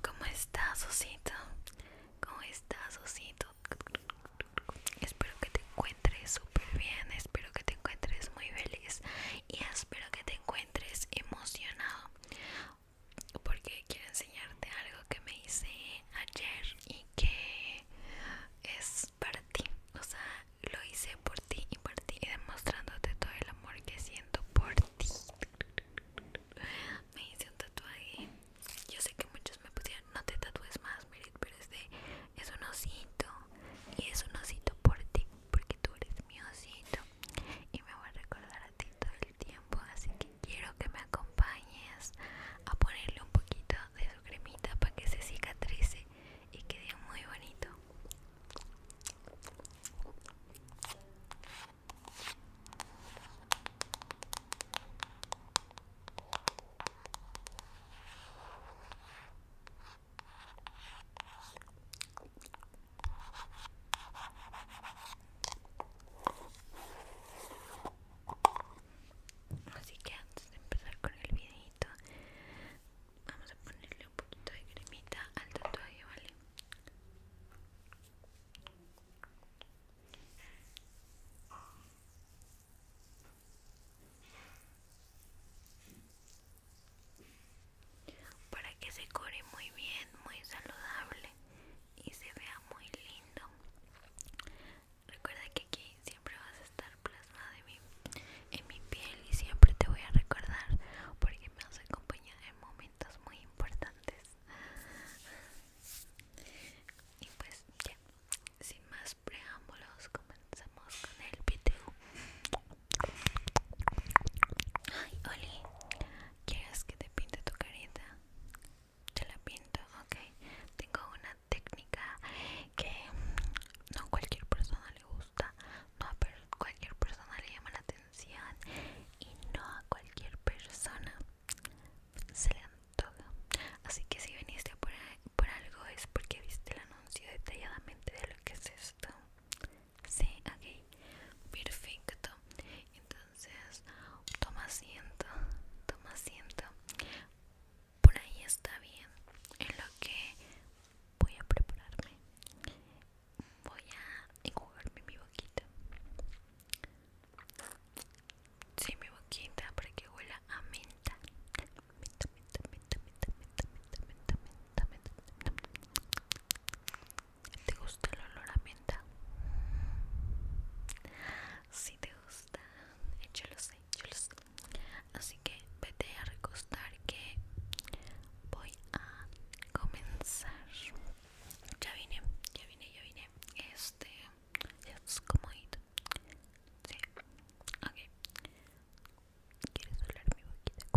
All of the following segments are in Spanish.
¿Cómo estás, Osito? ¿Cómo estás, Osito? Espero que te encuentres súper bien, espero que te encuentres muy feliz y espero que te encuentres emocionado porque quiero enseñarte algo que me hice ayer y que es para ti. O sea, lo hice por ti y por ti. Y demostrándote todo el amor que siento por ti. Me hice un tatuaje. Yo sé que muchos me pusieron, no te tatúes más, miren, pero es es un osito. Y es un osito por ti, porque tú eres mi osito. Y me voy a recordar a ti todo el tiempo. Así que quiero que me acompañes a ponerle un poquito de su cremita para que se cicatrice y quede muy bonito. Así que antes de empezar con el video vamos a ponerle un poquito de cremita al tatuaje vale para que se cure muy bien muy saludable y se vea muy lindo recuerda que aquí siempre vas a estar plasmada en mi, en mi piel y siempre te voy a recordar porque me has acompañado en momentos muy importantes. Y pues ya, sin más preámbulos, comenzamos con el video. Ay, Oli, ¿quieres que te pinte tu carita? Te la pinto, ok. Tengo una técnica que no a cualquier persona le gusta, no a cualquier persona le llama la atención y no a cualquier persona se le antoja. Así que si viniste por, algo es porque viste el anuncio detalladamente de lo que es esto. Sí, ok, perfecto. Entonces, toma asiento, toma asiento por ahí está bien en lo que voy a prepararme voy a enjuagarme mi boquita sí mi boquita para que a menta ¿Te gusta el olor a menta? si te gusta yo lo sé así que vete a recostar que voy a comenzar ya vine ya vine ya vine este es ir. sí ok quieres hablar mi boquita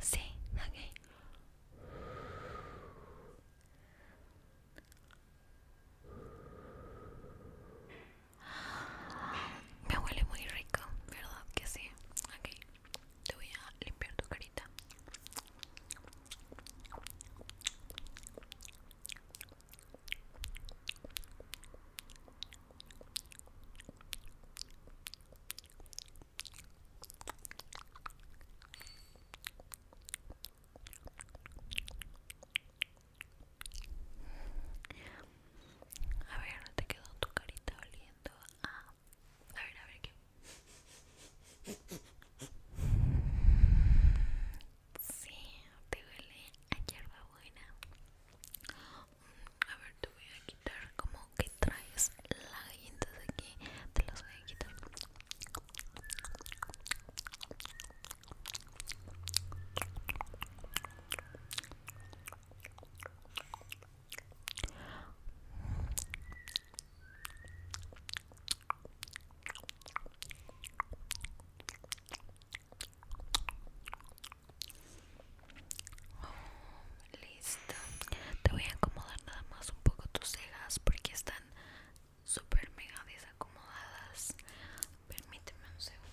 Sí, ok. Me huele muy rico, ¿verdad? Que sí. Aquí te voy a limpiar tu carita. A ver, ¿no te quedó tu carita oliendo? Ah, a ver, a ver qué. Sí, te huele a hierba buena. Mm, a ver, te voy a quitar como que traes de aquí te las voy a quitar Listo. Te voy a acomodar nada más un poco tus cejas porque están súper mega desacomodadas. Permíteme un segundo.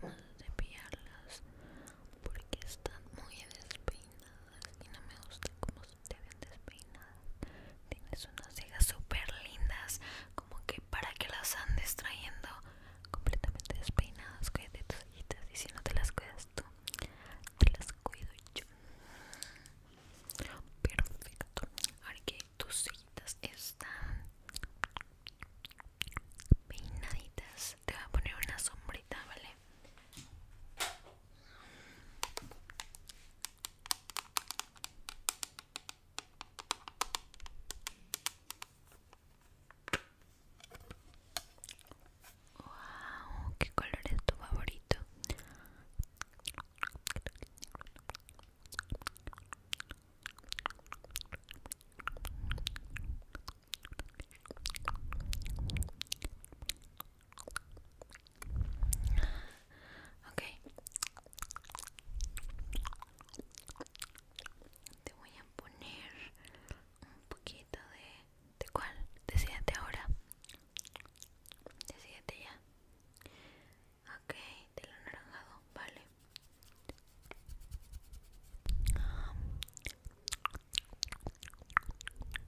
Vamos a cepillarlas porque están muy despeinadas y no me gusta cómo te ven despeinada. Tienes unas cejas súper lindas, como que para que las andes trayendo completamente despeinadas. Cuídate tus cejitas y si no te las cuidas tú, te las cuido yo. Perfecto. Ahora que tus cejitas están peinaditas, te voy a poner una sombrita, ¿vale? Wow, ¿qué color es tu favorito? Ok. Te voy a poner un poquito de... ¿De cuál? Decídete ahora. Decídete ya. Ok, lo anaranjado, vale.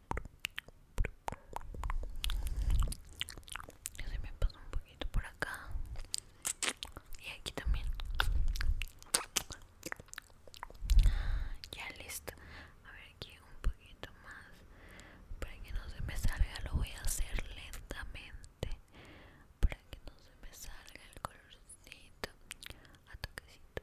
se me pasó un poquito por acá y aquí también ya listo a ver aquí un poquito más para que no se me salga lo voy a hacer lentamente para que no se me salga el colorcito a toquecito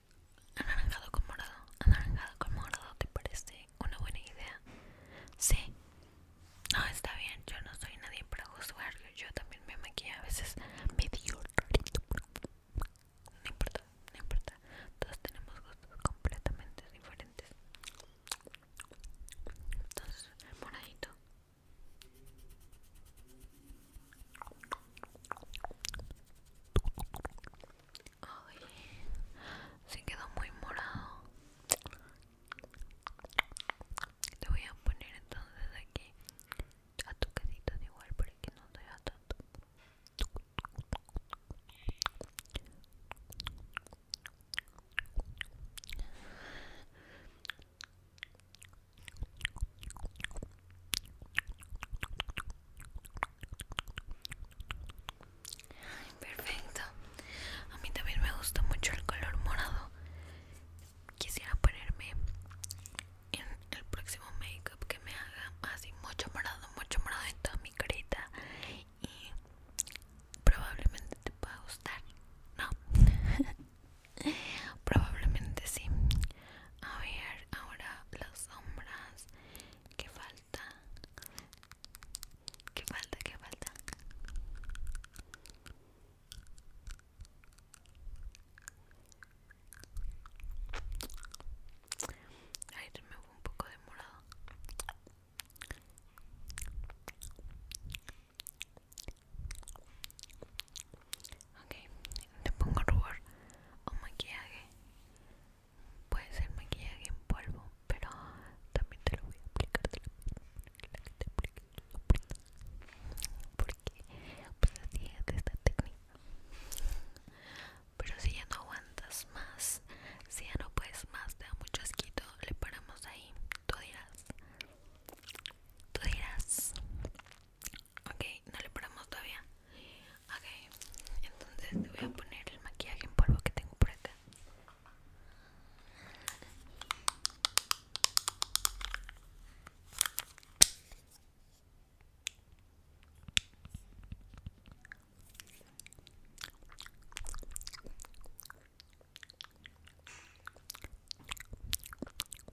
Anaranjado con morado. Anaranjado con morado, ¿te parece una buena idea? Sí. No, está bien. Yo no soy nadie para juzgar Yo también me maquillo a veces medio rarito. No importa, no importa. Todos tenemos gustos completamente diferentes. Entonces, moradito se quedó muy morado. Te voy a poner entonces aquí a tu casita de igual para que no te vea tanto perfecto. A mí también me gusta mucho el color morado. Quisiera ponerme en el próximo makeup que me haga así mucho morado, mucho morado en toda mi carita y probablemente te pueda gustar. No. Probablemente sí. A ver, ahora las sombras. ¿Qué falta? ¿Qué falta? ¿Qué falta? Ahí me fue un poco demorado. Ok, te pongo rubor o maquillaje. Puede ser maquillaje en polvo, pero también te lo voy a aplicar. Te lo porque pues así es esta técnica. Pero si ya no aguantas más, si ya no puedes más, te da mucho asquito, le paramos ahí. Tú dirás, tú dirás, Okay, no le paramos todavía. Okay, entonces te voy a poner el maquillaje en polvo que tengo por acá.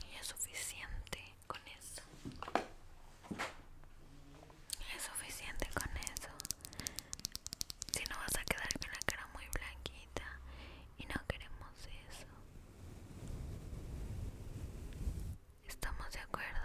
Y es suficiente con eso. Es suficiente con eso. Si no vas a quedar con la cara muy blanquita y no queremos eso. ¿Estamos de acuerdo?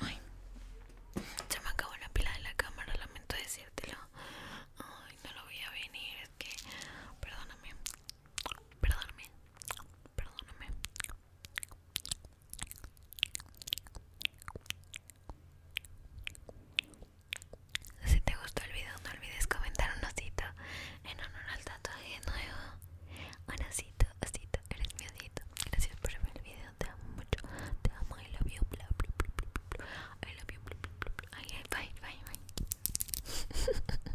Ay, Ya me acabó la pila de la cámara, lamento decírtelo. Ay, no lo voy a venir, es que perdóname. Perdóname. Perdóname. Si te gustó el video no olvides comentar un osito en honor al tatuaje nuevo. Un osito, osito, eres mi osito. Gracias por ver el video, te amo mucho. Te amo, I love you, bla I love you, bye, bye, bye.